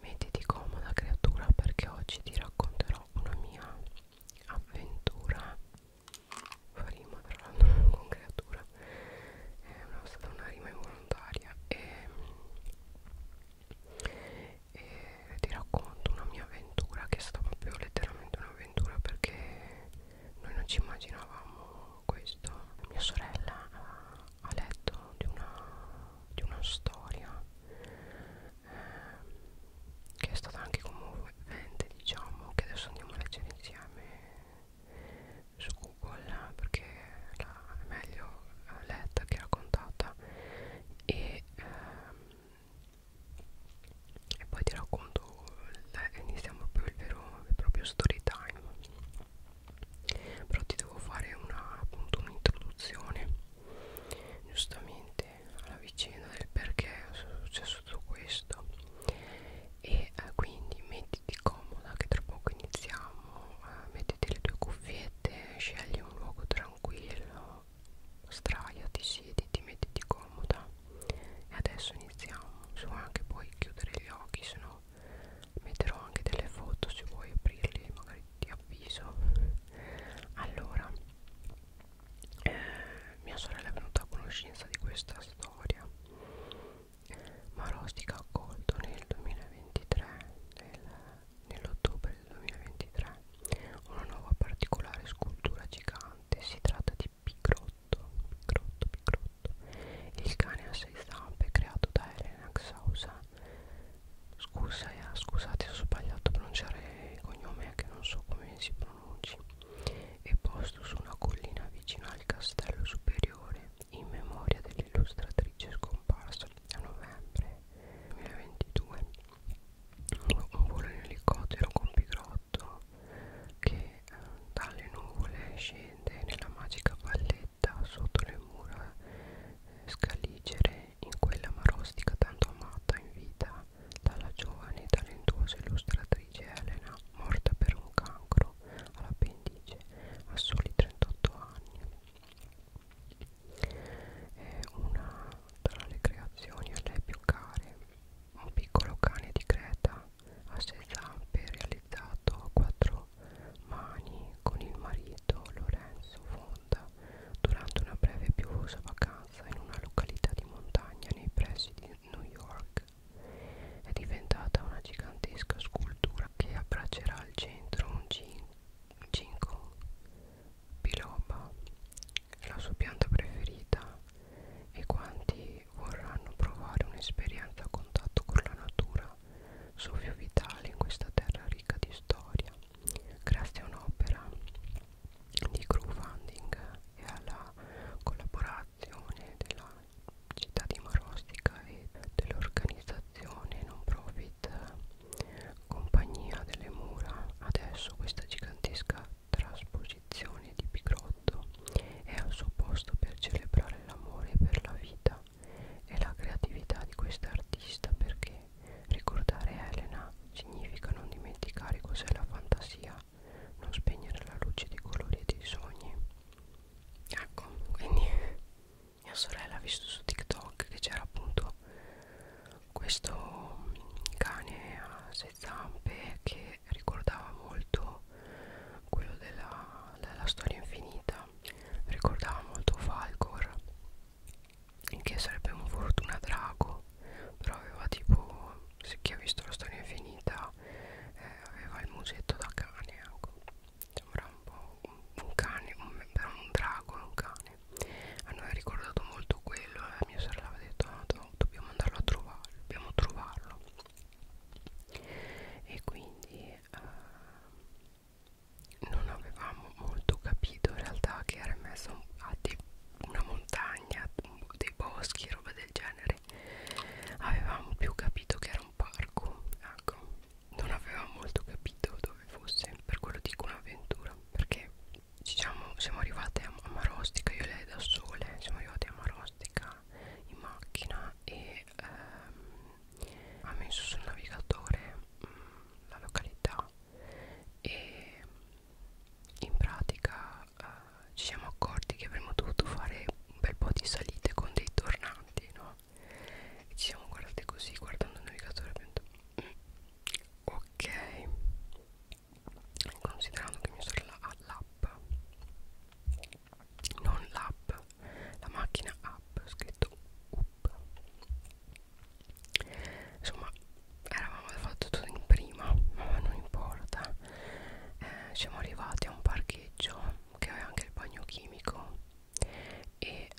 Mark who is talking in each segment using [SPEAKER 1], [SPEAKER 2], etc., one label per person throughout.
[SPEAKER 1] Mettiti comoda creatura perché oggi ti racconterò una mia avventura Fa rima tra l'altro con creatura È una, stata una rima involontaria e, e ti racconto una mia avventura che è stata proprio letteralmente un'avventura perché noi non ci immaginavamo questo mia sorella ha letto di una di una storia eh, che è stata anche commovente diciamo che adesso andiamo a leggere insieme su Google perché la, è meglio letta che raccontata e, ehm, e poi ti racconto iniziamo proprio il vero il proprio story time però ti devo fare una, appunto un'introduzione giustamente alla vicenda del perché è successo tutto questo e eh, quindi mettiti comoda che tra poco iniziamo eh, mettiti le tue cuffiette scegli un luogo tranquillo straiati siediti mettiti comoda e adesso iniziamo so anche poi chiudere gli occhi se no metterò anche delle foto se vuoi aprirle magari ti avviso allora eh, mia sorella è venuta a conoscenza di questa storia ma Rostica ha accolto nel 2023 nel, nell'ottobre del 2023 una nuova particolare scultura gigante si tratta di Pigrotto Pigrotto Pigrotto il cane a sei zampe creato da Elena Xausa Scusa, eh, scusate se ho sbagliato a pronunciare il cognome eh, che non so come si pronunci È posto su una collina vicino al castello superiore in memoria dell'illustratrice scomparsa a novembre 2022 Un volo in elicottero con Pigrotto che eh, dalle nuvole scende nella magica valle villetta sotto le mura scaligere in quella marostica tanto amata in vita dalla giovane e talentuosa illustratrice Elena, morta per un cancro all'appendice a soli 38 anni. È una tra le creazioni a lei più care, un piccolo cane di Creta a sei zampe realizzato a quattro Mauro Mani con il marito Lorenzo Fonda durante una breve e piovosa vacanza in una località di montagna nei pressi di New York. È diventata una gigantesca scultura che abbraccerà al centro un ginkgo biloba, la sua pianta preferita e quanti vorranno provare un'esperienza a contatto con la natura soffio vitale in questa terra ricca di storia grazie a un'opera di crowdfunding e alla collaborazione della città di Marostica e dell'organizzazione non profit Compagnia delle Mura adesso questa gigantesca trasposizione di Picrotto è al suo posto per celebrare l'amore per la vita e la creatività di quest'artista perché ricordare Elena significa non dimenticare cos'è la fantasia, non spegnere la luce dei colori e dei sogni. Ecco, quindi mia sorella ha visto su TikTok che c'era appunto questo cane a sei zampe che ricordava molto quello della, della storia infinita ricordava molto Falcor che sarebbe un fortuna drago però aveva tipo se chi ha visto la storia infinita eh, aveva il musetto da cane ecco. sembra un po' un, un cane un, un drago un cane a noi ha ricordato molto quello la eh, mia sorella aveva detto no, do, dobbiamo andarlo a trovare dobbiamo trovarlo e quindi eh, non avevamo molto capito in realtà che era messa a una montagna, dei boschi, roba del genere avevamo più capito che era un parco ecco non avevamo molto capito dove fosse per quello dico un'avventura perché diciamo siamo arrivate a Marostica io e lei da sole siamo arrivate a Marostica in macchina e ehm, ha messo sul navigatore mh, mm, la località e in pratica eh, ci siamo accorti che avremmo dovuto fare un bel po' di salite con dei tornanti, no? E ci siamo guardati così guardando il navigatore abbiamo detto mm, ok considerando che mia sorella ha l'app non l'app la macchina app scritto up insomma eravamo fatto tutto in prima ma non importa eh, siamo arrivati a un parcheggio che aveva anche il bagno chimico e eh,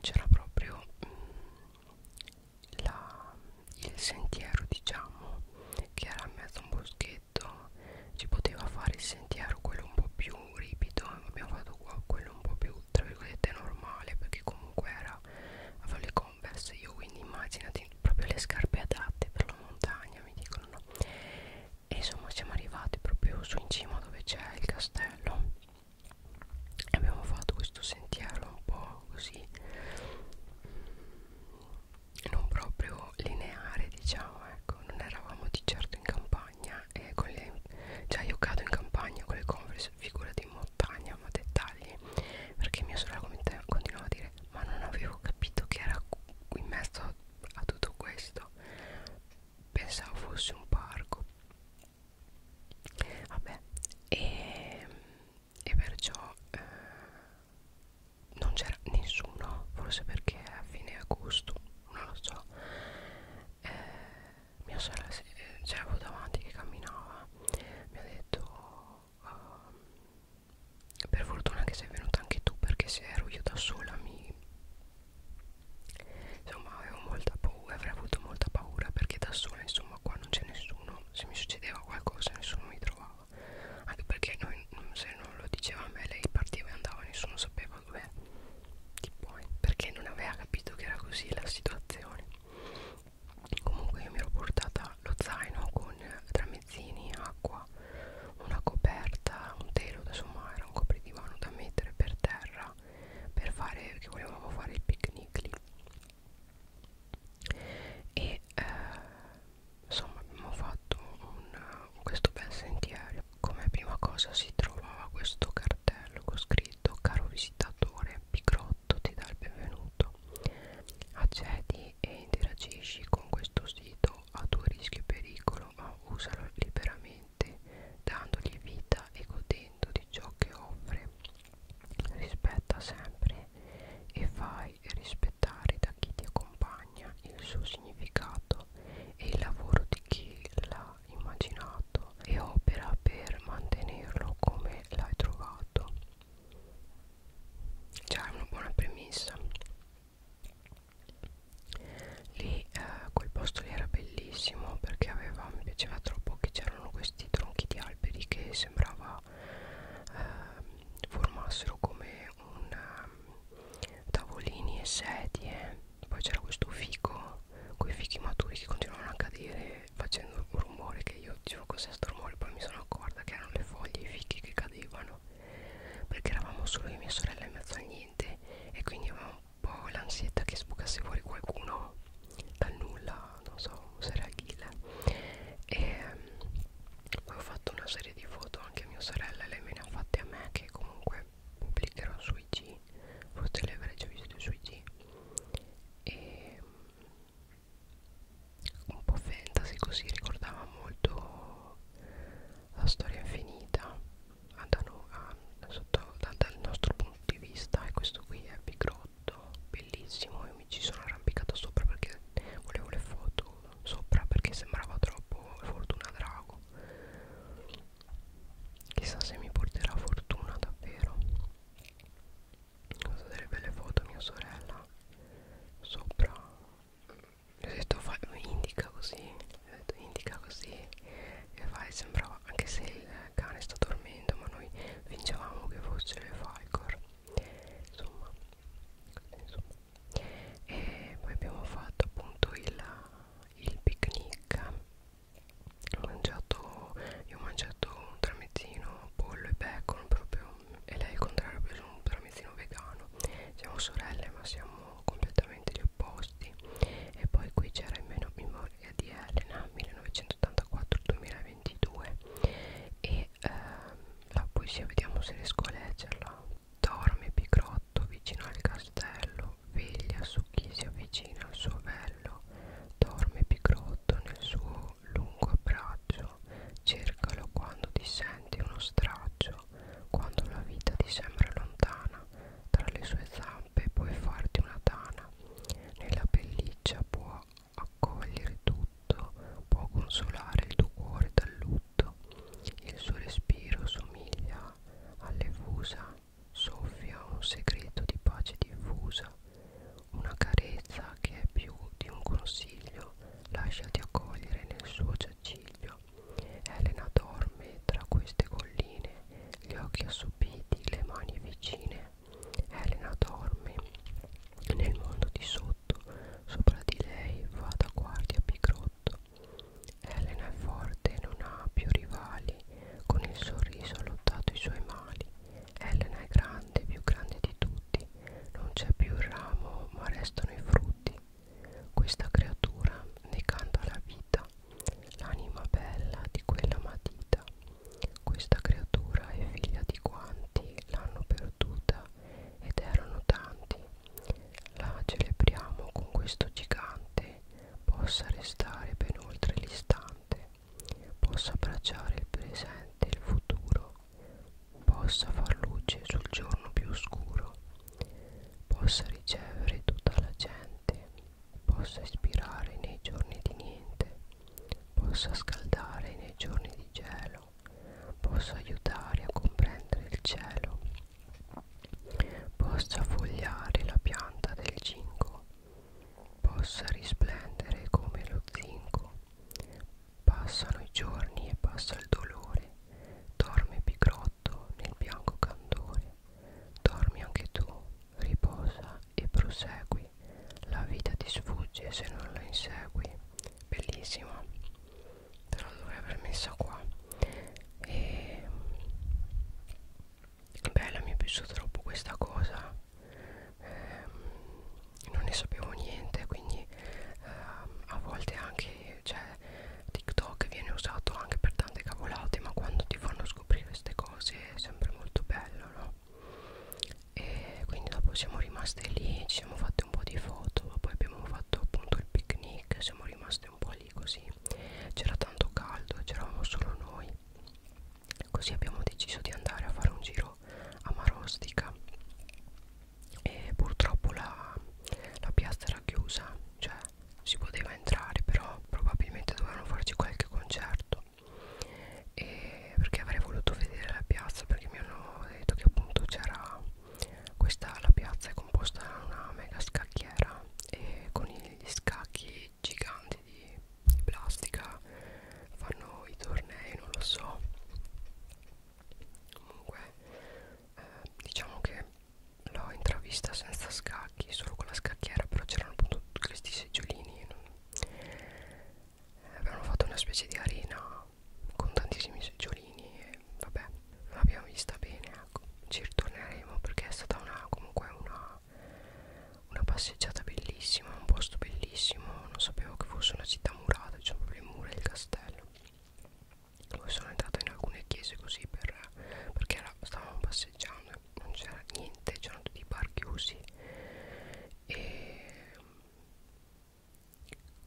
[SPEAKER 1] c'era proprio mh, mm, la, il sentiero diciamo che era in mezzo a un boschetto si poteva fare il sentiero quello un po' più ripido abbiamo fatto qua quello un po' più tra virgolette normale perché comunque era avevo le converse io quindi immaginati proprio le scarpe adatte per la montagna mi dicono no e insomma siamo arrivati proprio su in cima dove c'è il castello e abbiamo fatto questo sentiero un po' così non proprio lineare diciamo ecco non eravamo di certo in campagna campagna eh, con le, Già cioè, io cado in campagna con le converse Figurati in montagna ma dettagli Perché mia sorella continuava a dire Ma non avevo capito che era qui in mezzo a, a tutto questo Pensavo fosse un parco Vabbè E, ehm, e perciò eh, non c'era nessuno Forse perché è a fine agosto non lo so eh, mia sorella eh, c'era davanti che camminava mi ha detto uh, per fortuna che sei venuta anche tu perché se ero io da sola mi insomma avevo molta paura avrei avuto molta paura perché da sola insomma qua non c'è nessuno se mi succedeva qualcosa nessuno mi trovava anche perché noi se non lo diceva a me lei partiva e andava nessuno sapeva ma vabbè chi puoi perché non aveva capito che era così la situazione comunque io mi ero portata lo zaino con tramezzini acqua una coperta un telo insomma era un copridivano da mettere per terra per fare perché volevamo fare il picnic lì e eh, insomma abbiamo fatto un, questo bel sentiero come prima cosa si trovava questo cartone cartello con scritto caro visitatore Picrotto ti dà il benvenuto accedi e interagisci con questo sito a tuo rischio e pericolo ma usalo liberamente dandogli vita e godendo di ciò che offre rispetta sempre e fai rispettare da chi ti accompagna il suo significato e il lavoro di chi la già immaginato e opera per mantenerlo come l'hai trovato già è una buona premessa lì eh, quel posto lì era bellissimo perché aveva, mi piaceva troppo che c'erano questi tronchi di alberi che sembrava eh, formassero come un um, tavolini e sedie poi c'era questo fico con i fichi maturi che continuavano a cadere facendo un rumore che io dicevo cos'è sto rumore poi mi sono accorta che erano le foglie i fichi che cadevano perché eravamo solo io e mia sorella in mezzo a niente e quindi avevamo un po' l'ansietta che sbucasse fuori qualcuno dal nulla non so se era Achille e poi ehm, ho fatto una serie di foto anche a mia sorella lei me ne ha fatte a me che comunque pubblicherò su IG forse le avrei già viste su IG e mm, un po' fantasy così ricordava molto la storia infinita andano a, sotto, da, dal nostro punto di vista e questo qui è bigrotto bellissimo io mi ci sono arrampicato sopra perché volevo le foto sopra perché sembrava troppo fortuna drago Chissà se mi porterà fortuna davvero Ho so delle belle foto mia sorella Sopra Ho detto fai, indica così Ho detto indica così E fai sembrava Anche se il cane sta dormendo Ma noi vincevamo che fosse le Falcor Insomma Insomma e poi abbiamo fatto appunto il, il picnic ho mangiato io ho mangiato un tramezzino pollo e bacon proprio e lei il contrario ha preso un tramezzino vegano siamo sorelle ma siamo completamente gli opposti e poi qui c'era in meno memoria di Elena 1984-2022 e ehm, la poesia vediamo se riesco a leggerla dorme picrotto vicino al castello letto, veglia su chi si avvicina al suo vello, dorme picrotto nel suo lungo abbraccio, cercalo quando ti senti uno straccio, quando la vita ti sembra lontana, tra le sue zampe puoi farti una tana, nella pelliccia può accogliere tutto, può consolare il tuo cuore dal lutto, il suo respiro somiglia alle fusa soffia un segreto di pace diffusa, una carezza che è più di un consiglio, lasciati accogliere nel suo giaciglio. Elena dorme tra queste colline, gli occhi assopiti, le mani vicine. Elena dorme nel mondo di sotto, sopra di lei va da guardia Picrotto. Elena è forte, non ha più rivali, con il sorriso ha lottato i suoi mali. Elena è grande, più grande di tutti. Non c'è più il ramo, ma restano i frutti. Questa creatura ne canta la vita, l'anima bella di quella matita. Questa creatura è figlia di quanti l'hanno perduta ed erano tanti. La celebriamo con questo gigante possa restare ben oltre l'istante, possa abbracciare il presente e il futuro, possa far luce sul giorno più oscuro, possa ricevere tutta la gente, possa ispirare nei giorni di niente, possa scaldare nei giorni di gelo, possa aiutare a comprendere il cielo, possa fogliare la pianta del cinco, possa risplendere come lo zinco. Passano i giorni e passa il dolore, dorme Picrotto nel bianco candore. Dormi anche tu, riposa e prosegui. La vita ti sfugge se non la insegui. Bellissima, però dovrei aver messa qua. E bella mi è piaciuta troppo questa cosa eh, non ne sapevo niente quindi eh, a volte anche cioè, TikTok viene usato anche per tante cavolate ma quando ti fanno scoprire queste cose è sempre molto bello no? e quindi dopo siamo rimaste lì ci siamo fatte un po' di foto ma poi abbiamo fatto appunto il picnic siamo rimaste state un po' lì così c'era tanto caldo e c'eravamo solo noi così abbiamo deciso di andare a fare un giro a Marostica e purtroppo la, la piazza era chiusa cioè si poteva entrare però probabilmente dovevano farci qualche concerto e perché avrei voluto vedere la piazza perché mi hanno detto che appunto c'era questa la piazza è composta da una mega scacchiera e con gli scacchi giganti di, di plastica fanno i tornei non lo so comunque eh, diciamo che l'ho intravista senza scacchi solo con la scacchiera però c'erano appunto questi seggiolini eh, avevano fatto una specie di arena con tantissimi seggiolini e vabbè l'abbiamo vista bene ecco ci ritorneremo perché è stata una comunque una una, una passeggiata bellissima, un posto bellissimo, non sapevo che fosse una città murata, c'erano proprio le mura del castello. Poi sono entrata in alcune chiese così per, perché era, stavamo passeggiando, non c'era niente, c'erano tutti i bar chiusi e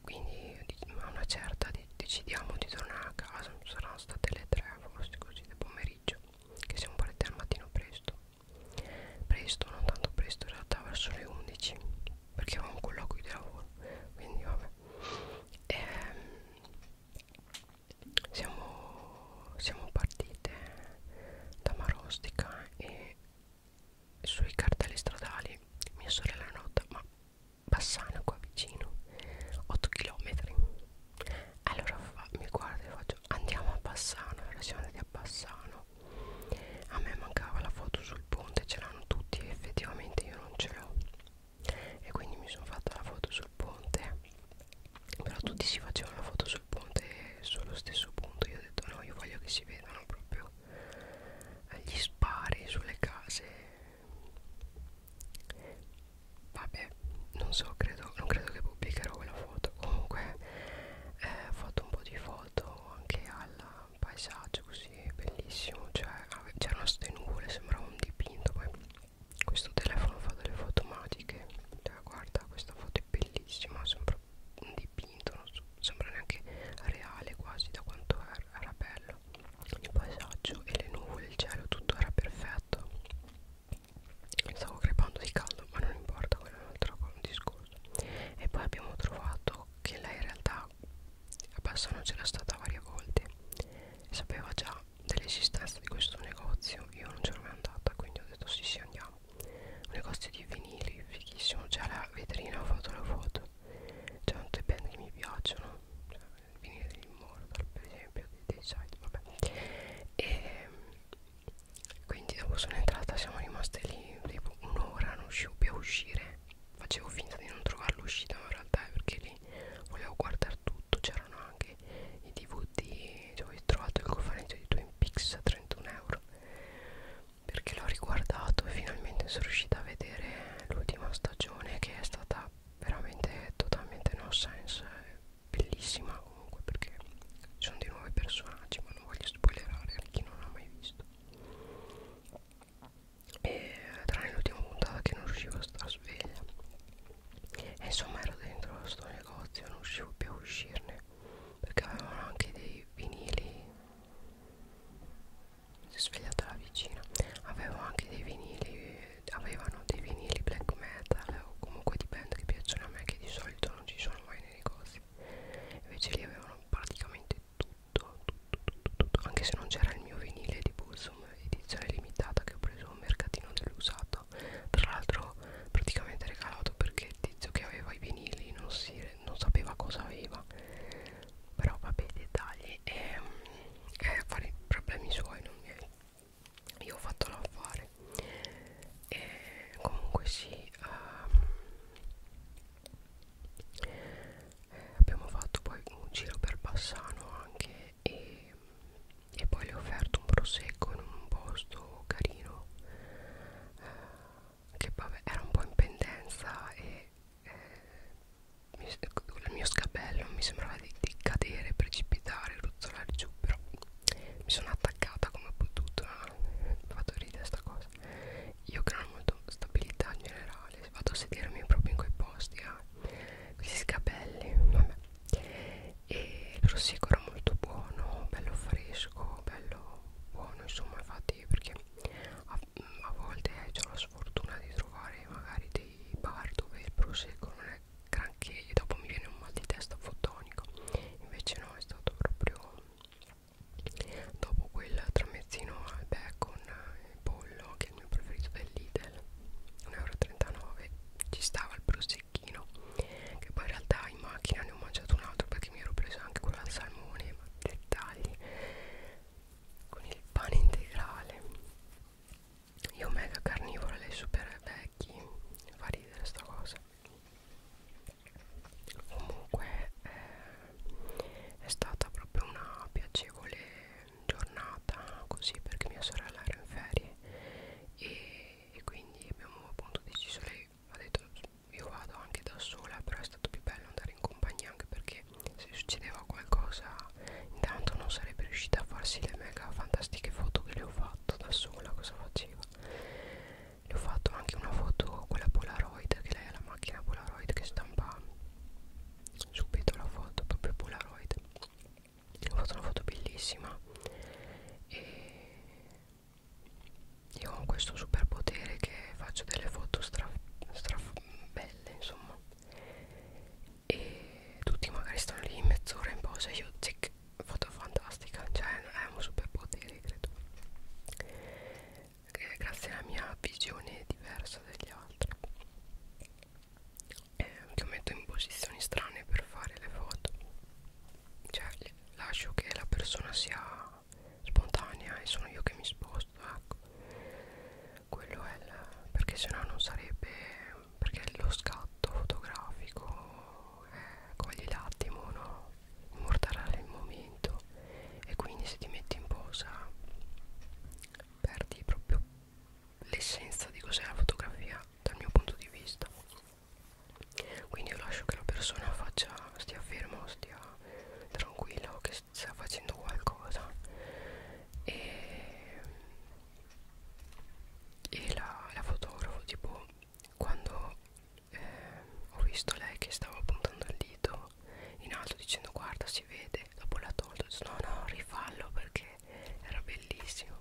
[SPEAKER 1] quindi a una certa decidiamo di tornare a casa, saranno state le tre forse così del pomeriggio che siamo partiti al mattino presto presto non tanto presto in realtà verso le 11 perché avevamo un colloquio di lavoro quindi vabbè e, ehm, siamo, siamo partite da Marostica e sui cartelli stradali mia sorella nota ma Bassano qua vicino 8 km allora fa, mi guardo e faccio andiamo a Bassano allora siamo andati a Bassano a me mancava la foto sul ponte ce l'hanno tutti e effettivamente io non ce l'ho e quindi mi sono fatta la foto sul ponte però tutti si facevano la foto sul ponte sullo stesso punto io ho detto no io voglio che si vedano proprio gli spari sulle case vabbè non so credo non credo che pubblicherò quella foto comunque eh, ho fatto un po' di foto anche al paesaggio così bellissimo cioè c'erano ste nuvole sembrava un dipinto poi questo telefono fa delle foto magiche cioè, guarda questa foto è bellissima sembra un dipinto non so, sembra neanche reale quasi da quanto era, era bello il paesaggio e le nuvole il cielo tutto era perfetto stavo crepando di caldo ma non importa quello è un altro discorso e poi abbiamo trovato che lei in realtà a Bassano c'era stata varie volte e sapeva già dell'esistenza di questo negozio io non c'ero mai andata quindi ho detto sì sì andiamo un negozio di vinili fighissimo c'è la vetrina ho fatto la foto c'è un band che mi piacciono cioè, il vinile degli immortal per esempio dei, dei site vabbè e ehm, quindi dopo sono entrata siamo rimaste lì tipo un'ora non riuscivo più a uscire facevo finta di non trovare l'uscita ma in realtà è perché lì volevo guardare tutto c'erano anche i dvd cioè, ho trovato il cofanetto di Twin Peaks a 31 euro perché l'ho riguardato e finalmente sono riuscita a vedere l'ultima stagione che è stata veramente totalmente no sense bellissima comunque perché ci sono dei nuovi personaggi ma non voglio spoilerare a chi non l'ha mai visto e tranne l'ultima puntata che non riuscivo a star sveglia e insomma ero dentro sto negozio non riuscivo più a uscirne perché avevano anche dei vinili si è svegliata la vicina avevo anche dei vinili avevano dei vinili black metal o comunque di band che piacciono a me che di solito non ci sono mai nei negozi invece lì avevano praticamente tutto, tutto, tutto, tutto. anche se non c'era il mio vinile di Bulsum edizione limitata che ho preso a un mercatino dell'usato tra l'altro praticamente regalato perché il tizio che aveva i vinili non, si, non sapeva cosa aveva però vabbè i dettagli e, ehm, e fare problemi suoi non miei io ho fatto l'affare e comunque sì um, abbiamo fatto poi un giro per Bassano anche e, e poi le ho offerto un prosecco in un posto carino eh, che vabbè era un po' in pendenza e eh, mi, il mio scabello mi sembrava di, di cadere, precipitare, ruzzolare giù però mi sono attaccata come ho potuto mi ha fatto ridere sta cosa io che non ho molto stabilità in generale vado a sedermi proprio in quei posti eh. questi scabelli vabbè e il prosecco era molto buono bello fresco bello buono insomma infatti perché a, a volte eh, ho la sfortuna di trovare magari dei bar dove il prosecco non è granché e dopo mi viene un mal di testa fotonico invece no è stato proprio dopo quel tramezzino al bacon e eh, pollo che è il mio preferito del Lidl 1,39 euro ci stava il prosecchino che poi in realtà in macchina ne ho mangiato un altro perché mi ero preso anche quello al salmone ma dettagli con il pane integrale io mega carnivora, lei super vecchi, fa ridere sta cosa. Comunque eh, è stata proprio una piacevole giornata così perché mia sorella era in ferie e, e quindi abbiamo appunto deciso, lei ha detto io vado anche da sola però è stato più bello andare in compagnia anche perché se succedeva qualcosa intanto non sarebbe riuscita a farsi le mega fantastiche foto che le ho fatte fatto da sola cosa faceva le ho fatto anche una foto quella polaroid che lei ha la macchina polaroid che stampa subito la foto proprio polaroid ho fatto una foto bellissima e io ho questo superpotere che faccio delle foto stra, stra belle insomma e tutti magari stanno lì mezz'ora in pausa io zic foto fantastica cioè è un superpotere credo eh, grazie alla mia visione diversa dagli altri eh, li metto in posizioni strane per fare le foto cioè lascio che la persona sia spontanea e sono io che mi sposto ecco quello è il perché sennò non sarebbe perché lo scatto fotografico eh, cogli l'attimo, no? immortalare il momento e quindi se ti metti in posa perdi proprio l'essenza di cos'è la fotografia dal mio punto di vista quindi io lascio che la persona faccia stia fermo stia tranquillo che stia facendo qualcosa e e la, la fotografo tipo quando eh, ho visto lei che stava puntando il dito in alto dicendo guarda si vede dopo l'ha tolto no no rifallo perché era bellissimo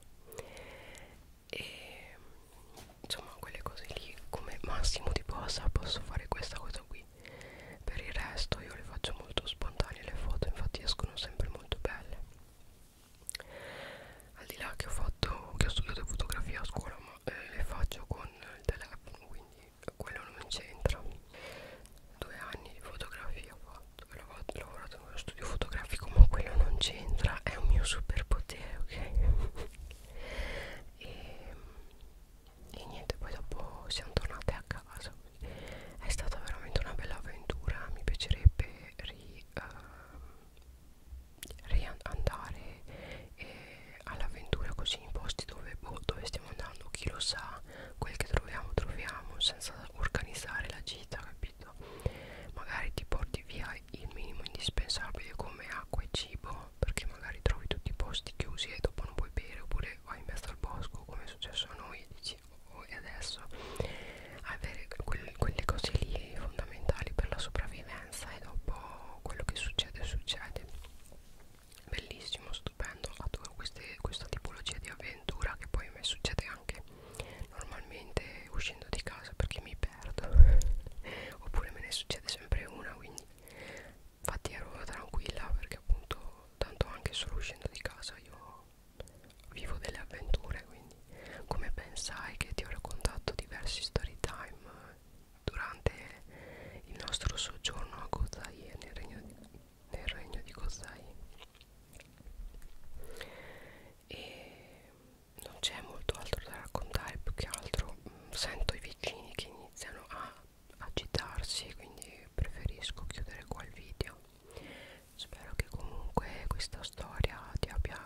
[SPEAKER 1] e insomma quelle cose lì come massimo di possa ah, posso fare questa cosa qui per il resto io le faccio molto spontanee le foto infatti escono sempre molto belle al di là che ho fatto che ho studiato fotografia a scuola ma eh, le faccio con il telefono quindi quello non c'entra due anni di fotografia ho fatto ho lavorato, ho lavorato in uno studio fotografico ma quello non c'entra è un mio superpotere ok e, e niente poi dopo siamo tornate a casa è stata veramente una bella avventura mi piacerebbe ri, uh, andare eh, all'avventura così in posti dove, boh, dove stiamo andando chi lo sa quel che troviamo troviamo senza organizzare la gita capito magari ti porti via il minimo indispensabile come acqua e cibo perché magari trovi tutti i posti chiusi e dopo non puoi bere oppure vai in mezzo al bosco come è successo a noi e dici oh, voi adesso avere quel, quelle cose lì fondamentali per la sopravvivenza e dopo quello che succede succede bellissimo stupendo adoro queste, questa tipologia di avventura che poi a me succede anche normalmente uscendo di casa perché mi perdo oppure me ne succede sempre una quindi infatti ero tranquilla perché appunto tanto anche solo uscendo di casa io vivo delle avventure quindi come ben sai che ti ho raccontato diversi story time eh, durante il nostro soggiorno a Gozai nel regno di, nel regno di Gozai e non c'è molto altro da raccontare più che altro mm, sento i vicini che iniziano a agitarsi quindi preferisco chiudere qua il video spero che comunque questa storia ti abbia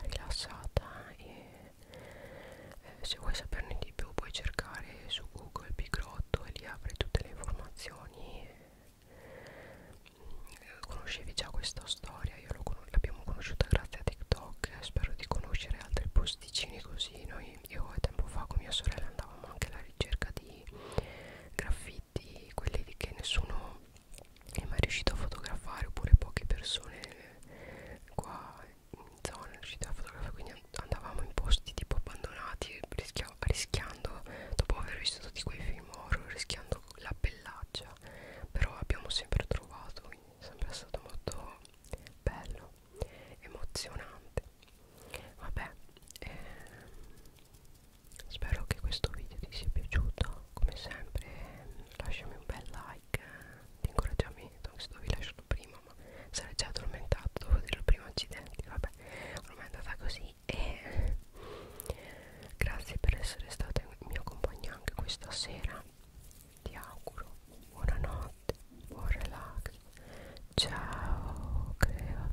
[SPEAKER 1] rilassata e eh, se vuoi saperne di più puoi cercare su Google Bigrotto e lì avrai tutte le informazioni. Eh, conoscevi già questa storia, io l'abbiamo conosciuta grazie a TikTok, eh, spero di conoscere altri posticini così. Noi, io tempo fa con mia sorella andavamo anche alla ricerca di graffiti, quelli che nessuno è mai riuscito a fotografare oppure poche persone qua in zona riuscite a fotografare quindi andavamo in posti tipo abbandonati rischiando dopo aver visto tutti quei film horror rischiando la pellaggia però abbiamo sempre trovato quindi è sempre stato molto bello emozionante vabbè eh, spero che questo video ti sia piaciuto come sempre lasciami un bel like di incoraggiamento anche se dovevi lasciarlo prima ma sarei già addormentato dovevo dirlo prima accidenti vabbè ormai è andata così e grazie per essere stato in mio compagno anche questa sera ti auguro buonanotte buon relax ciao creatura